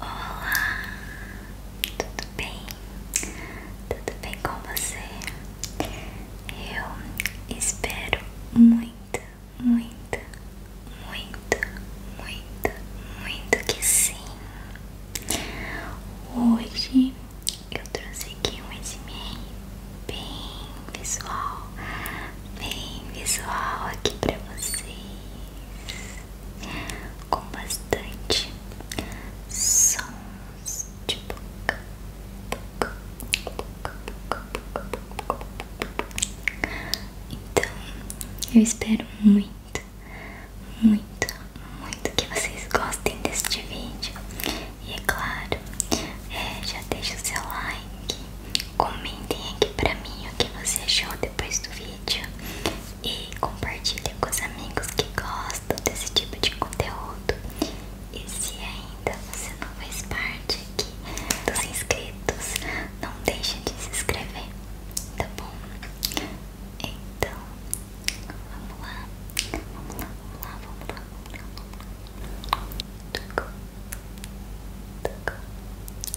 Olá, tudo bem? Tudo bem com você? Eu espero muito, muito, muito, muito, muito que sim. Hoje eu trouxe aqui um SMR bem visual, bem visual aqui pra vocês com bastante sons de boca, boca, boca, boca, boca, boca, boca. Então, eu espero muito, muito, muito que vocês gostem deste vídeo. E é claro, é, já deixa o seu like. Comentem aqui pra mim o que você achou depois do vídeo e compartilhem com os amigos que gostam desse tipo de conteúdo. E se ainda você não faz parte aqui dos inscritos, não deixe de se inscrever, tá bom? Então, vamos lá, vamos lá, vamos lá, vamos lá, vamos lá. Vamos lá.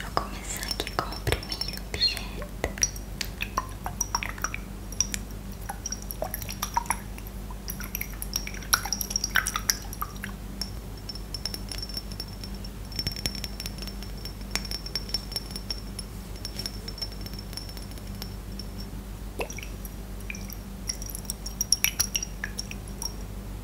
Vou começar aqui com o primeiro objeto.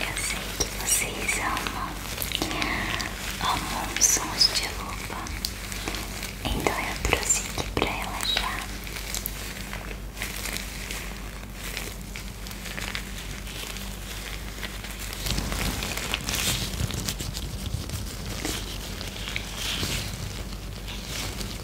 Eu sei que vocês amam, amam sons de lupa, então eu trouxe aqui pra relaxar.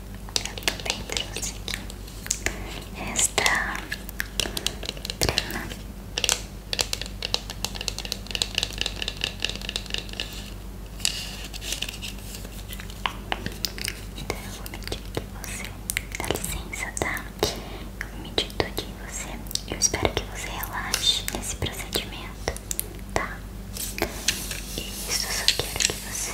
Eu também trouxe aqui esta crema. Então eu vou medir aqui você. Dá licença, tá? Eu vou medir tudo você. Eu espero que você relaxe nesse procedimento, tá? Isso, só quero que você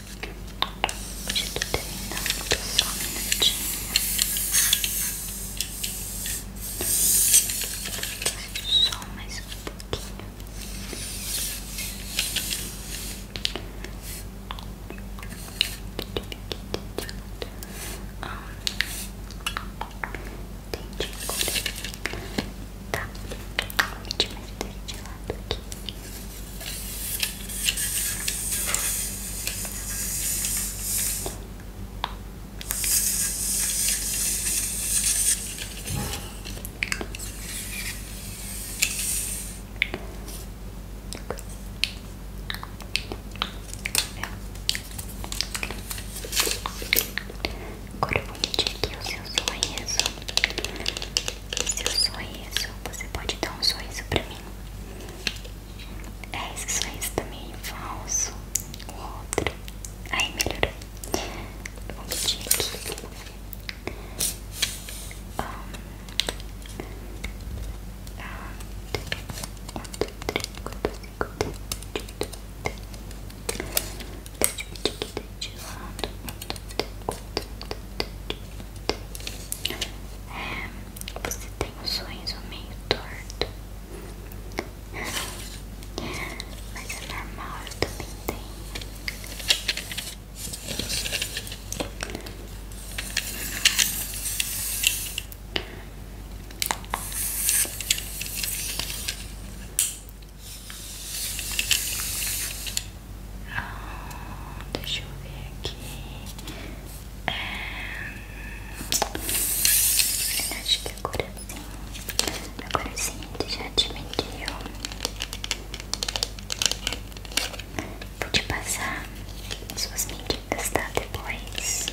De tudo terminando, só um minutinho. Só mais um pouquinho. Ah, entendi. Tá. Vou te meter Agora eu vou medir aqui o seu sorriso se eu Seu isso você pode dar um sorriso pra mim? É, esse sorriso também falso. O outro. Aí melhorou. vamos pedir aqui. Um, um, dois, três, quatro, cinco, seis, sete, oito, nove, dez. Deixa eu pedir aqui ventilando é, você tem um sorriso meio torto mas é normal, eu também tenho ah, deixa eu ver aqui. É... Acho que agora sim. Agora sim, ele já te mediu. Vou te passar suas medidas, tá? Depois.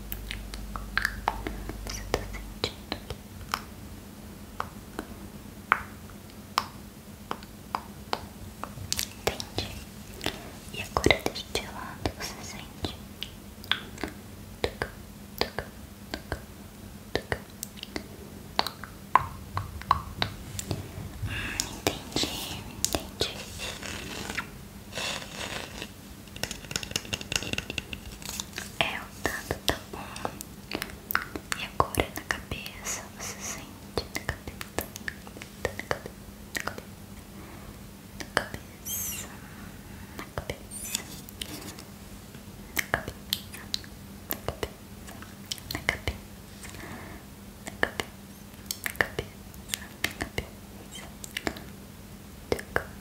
Você tá sentindo aqui? Entendi. E agora deste lado você sente. Tuc, tuc, tuc, tuc. Hum, entendi, entendi. É, o tanto tá bom. E agora na cabeça, você sente na cabeça, na cabeça, na cabeça, na cabeça, na cabeça, na cabeça, na cabeça, na cabeça, na cabeça, na cabeça, na cabeça, na cabeça, na cabeça, na cabeça, na cabeça, na cabeça, na cabeça, cabeça, cabeça, tuca, tuca,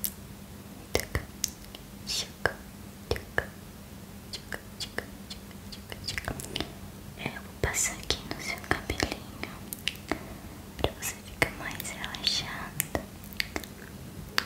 chuca, tuca, chuca, chuca, chuca, chuca, chuca. Eu vou passar aqui no seu cabelinho pra você ficar mais relaxada. Tuca,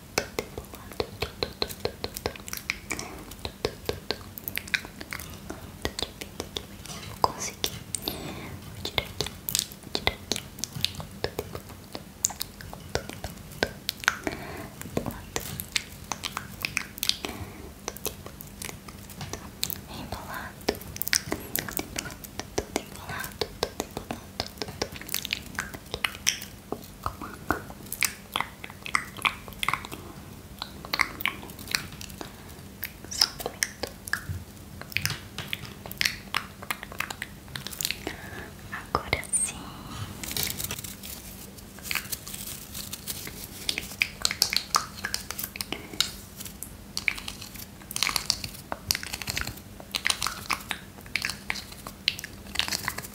Vou conseguir. Vou tirar aqui. Vou tirar aqui. Embolado. Embolado. Embolado. Embolado. Embolado. Só um momento. Agora sim.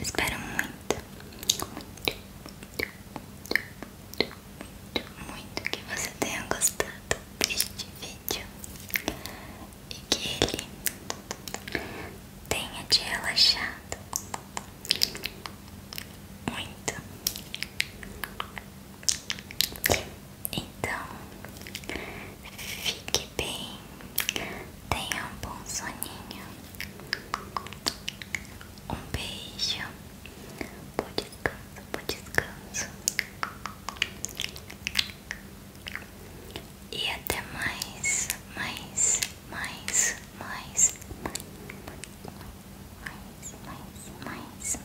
Espero muito, muito, muito, muito, muito que você tenha gostado deste vídeo e que ele tenha te relaxado muito. Então, fique bem, tenha um bom soninho. Um beijo, bom descanso, bom descanso. E até mais, mais, mais, mais, mais, mais. mais.